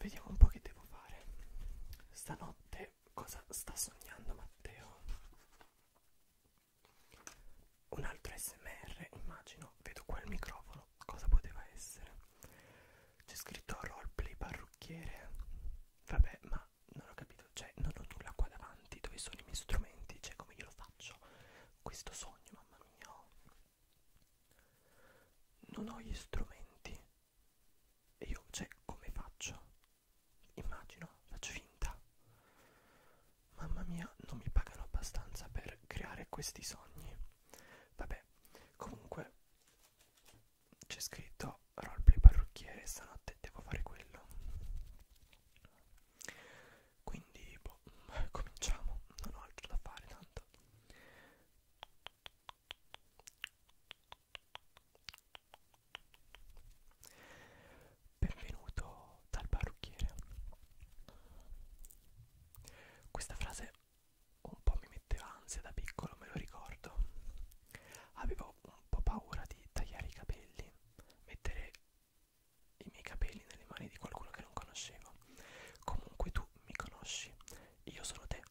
Vediamo un po' che devo fare. Stanotte cosa sta sognando Matteo? Un altro SMR, immagino, vedo quel microfono, cosa poteva essere? c'è scritto roleplay parrucchiere vabbè ma non ho capito cioè non ho nulla qua davanti dove sono i miei strumenti cioè come io lo faccio questo sogno mamma mia oh. non ho gli strumenti e io cioè come faccio immagino faccio finta mamma mia non mi pagano abbastanza per creare questi sogni vabbè comunque c'è scritto roleplay parrucchiere stanotte devo fare quello quindi boh, cominciamo non ho altro da fare tanto benvenuto dal parrucchiere questa frase un po' mi metteva ansia da piccolo, me lo ricordo. Avevo un po' paura di tagliare i capelli, mettere i miei capelli nelle mani di qualcuno che non conoscevo. Comunque tu mi conosci, io sono te.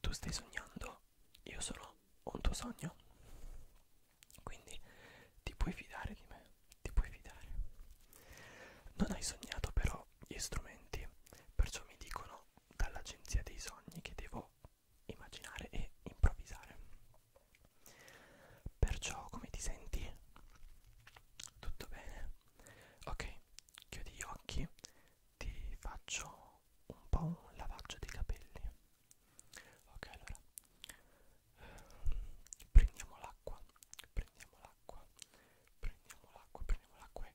Tu stai sognando, io sono un tuo sogno. Quindi ti puoi fidare di me, ti puoi fidare. Non hai sognato però gli strumenti, perciò mi dicono sono dall'agenzia dei sogni che devo immaginare e improvvisare. Perciò come ti senti? Tutto bene? Ok, chiudi gli occhi, ti faccio un po' un lavaggio dei capelli. Ok, allora ehm, prendiamo l'acqua, prendiamo l'acqua, prendiamo l'acqua, prendiamo l'acqua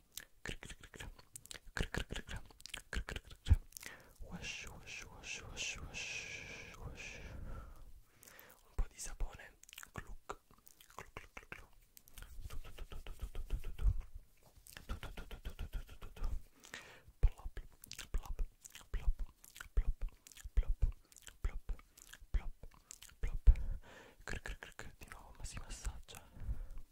Wash, wash, wash, wash, wash, wash. Un po' di sapone. Cluck. Cluck, cluck, cluck, cluck. Plop, plop, plop, plop, plop, plop, plop, plop. Cric, cric, cric. Di nuovo, ma si massaggia.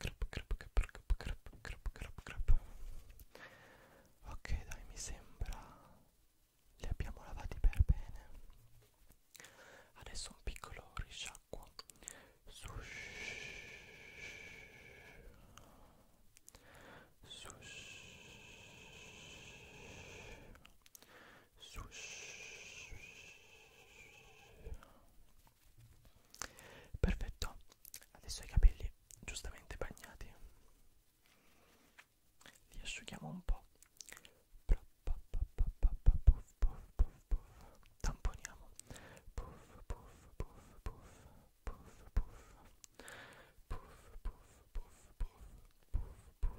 Crap, crap, crap, crap, crap, crap, crap. Ok, dai, mi sembra li abbiamo lavati per bene. Adesso un piccolo risciacquo. Sush. Sush. Sush perfetto adesso i capelli giustamente bagnati li asciughiamo un po tamponiamo puff puff puff puff puff puff puff puff puff puff puff puff puff puff puff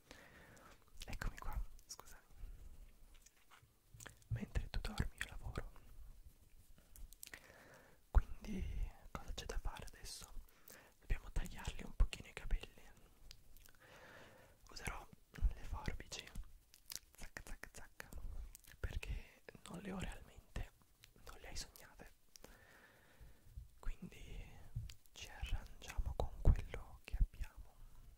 Eccomi qua, scusami. Mentre tu dormi io lavoro. Quindi cosa c'è da fare adesso? Dobbiamo tagliarli un pochino i capelli. Userò le forbici. Zac zac zac. Perché non le ho realmente, non le hai sognate. Quindi ci arrangiamo con quello che abbiamo.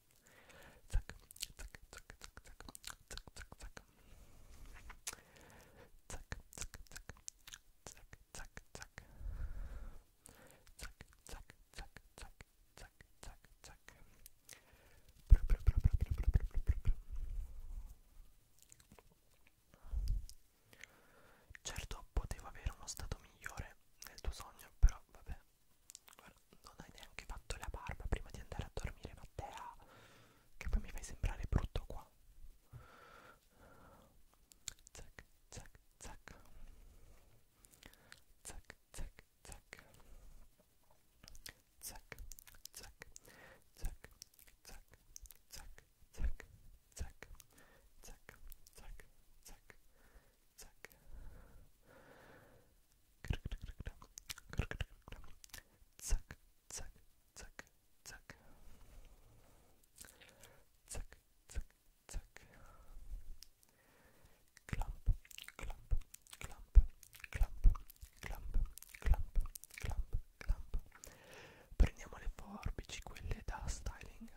zac, zac, zac, zac, zac, zac, zac, zac. Zac, zac, zac, zac, zac, zac. Zac, zac, zac, zac, zac, zac, zac. Bru, bru, bru, bru, bru, bru, bru, bru, bru. Certo, poteva avere uno stato migliore nel tuo sogno, però vabbè. Guarda, non hai neanche fatto la barba prima di andare a dormire, Matteo. Che poi mi fai sembrare brutto qua. Zac, zac, zac. Zac, zac, zac. Zac, zac, zac, zac, zac, zac, zac, zac, zac, zac, zac, zac zac zac zac zac zac zac zac clamp clamp clamp clamp clamp clamp clamp clamp prendiamo le forbici quelle da styling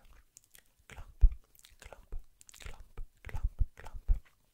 clamp clamp clamp clamp clamp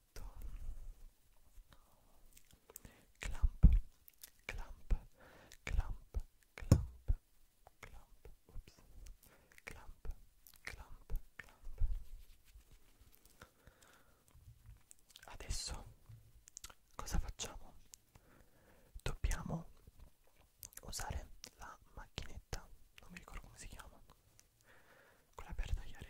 letto clamp clamp clamp clamp clamp Oops. clamp clamp clamp adesso cosa facciamo dobbiamo usare la macchinetta non mi ricordo come si chiama quella per tagliare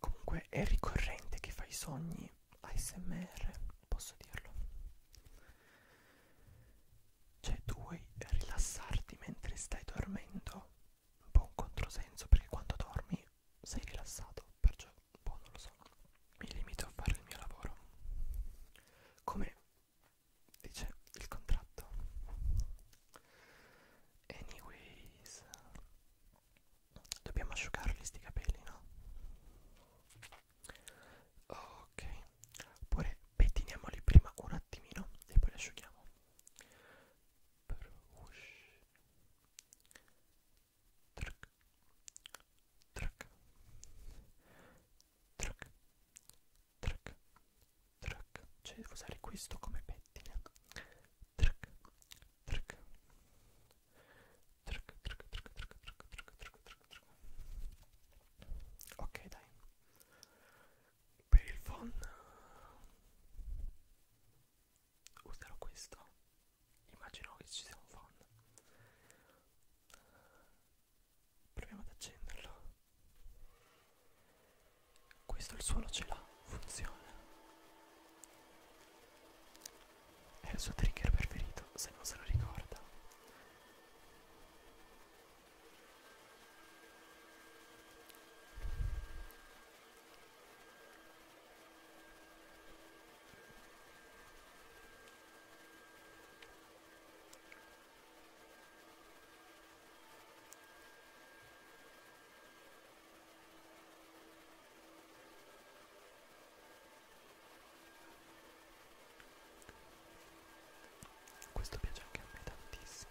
Comunque è ricorrente che fai sogni ASMR, posso dirlo. Cioè tu vuoi rilassarti mentre stai dormendo? Un po' un controsenso perché quando dormi sei rilassato, perciò un boh, po' non lo so. Mi limito a fare il mio lavoro. Come dice il contratto. Anyways Dobbiamo asciugarli sti capelli no? Ok Oppure pettiniamoli prima un attimino E poi li asciughiamo Brush Truc Truc Truc Truc Truc Cioè devo usare questo come pettine trick, trick, trick, trick, trick, trick, trick, trick, trick. Ok, dai. Per il fun userò questo. Immagino che ci sia un fun. Proviamo ad accenderlo. Questo il suolo ce l'ha, funziona. È il suo trigger preferito, se non se lo ricorda. Questo piace anche a me tantissimo.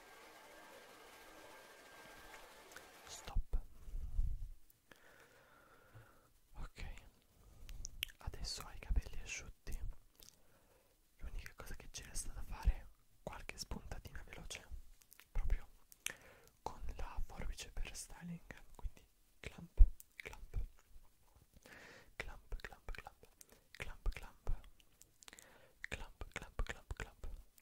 Stop. Ok, adesso hai i capelli asciutti. L'unica cosa che ci resta da fare è qualche spuntatina veloce, proprio con la forbice per styling. Quindi clamp, clamp, clamp, clamp, clamp, clamp, clamp, clamp, clamp, clamp, clamp, clump, clump, clump, clump, clump, clump, clump, clump, clump, clump, clump,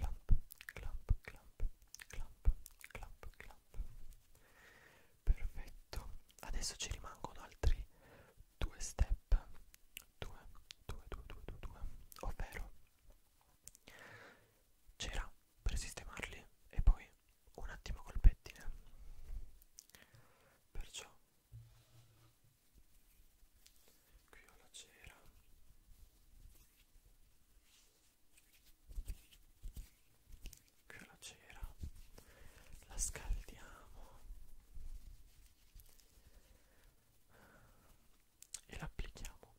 clump, clump, clump, clump. Perfetto. Adesso ci rimangono altri due step. Due, due, due, due, due, due. Ovvero c'era per sistemarli e poi un attimo col pettine perciò qui ho la cera qui ho la cera la scaldiamo e l'applichiamo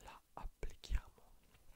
la applichiamo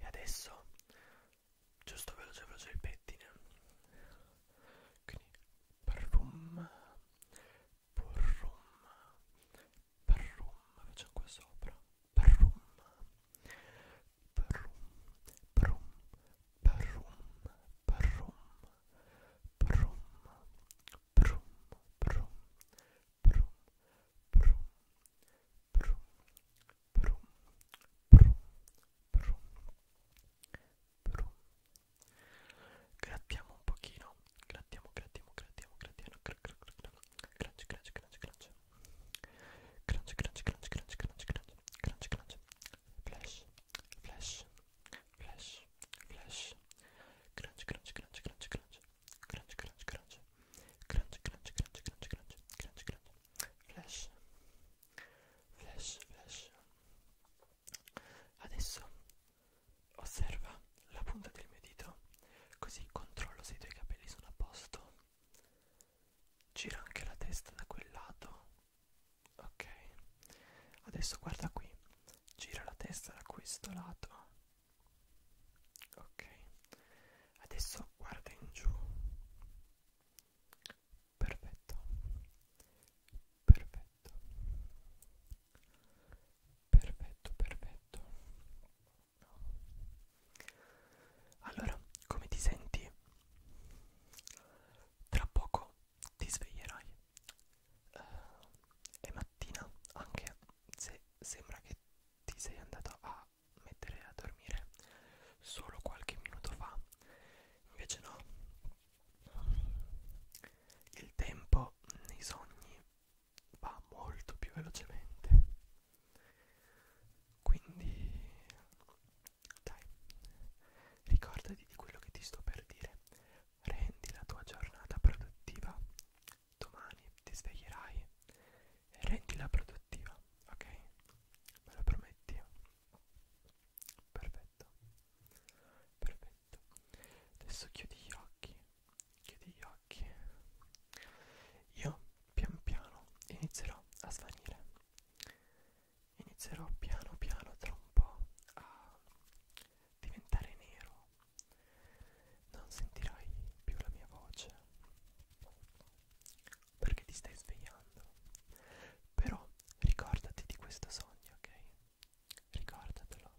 E adesso giusto veloce veloce il pettine quindi parrum porrum parrum facciamo qua sopra parrum parrum parrum parrum parrum parrum parrum parrum Brum, brum, brum, Brum, brum, brum, brum. Grattiamo un pochino. Grattiamo, grattiamo, grattiamo, grattiamo. Crunch, crunch, crunch, crunch. Crunch, crunch, crunch, crunch, crunch, crunch. Crunch, crunch. Flash, flash, flash, flash. Crunch, crunch, crunch, crunch, crunch. Crunch, crunch, crunch. Crunch, crunch, crunch, crunch, crunch. Crunch, crunch flash flash flash adesso osserva la punta del mio dito così controllo se i tuoi capelli sono a posto gira anche la testa da quel lato ok adesso guarda qui gira la testa da questo lato ok adesso guarda in giù Perfetto. Perfetto. Perfetto, perfetto. Allora, come ti senti? Tra poco ti sveglierai. Uh, è mattina, anche se sembra che ti sei andata a mettere a dormire solo qualche minuto fa invece no il tempo nei sogni va molto più velocemente quindi dai ricordati di quello che ti sto per dire rendi la tua giornata produttiva domani ti sveglierai e rendila produttiva, ok? Me lo prometti? Perfetto, perfetto. Adesso chiudi gli occhi, chiudi gli occhi. Io pian piano inizierò a svanire. Inizierò piano piano tra un po' a diventare nero. Non sentirai più la mia voce perché ti stai svegliando. Però ricordati di questo sogno, ok? Ricordatelo.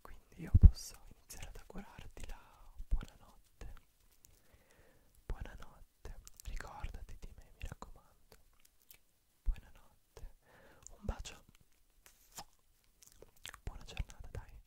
Quindi io posso iniziare ad augurarti la buonanotte. Buonanotte, ricordati di me, mi raccomando. Buonanotte. Un bacio. Buona giornata, dai.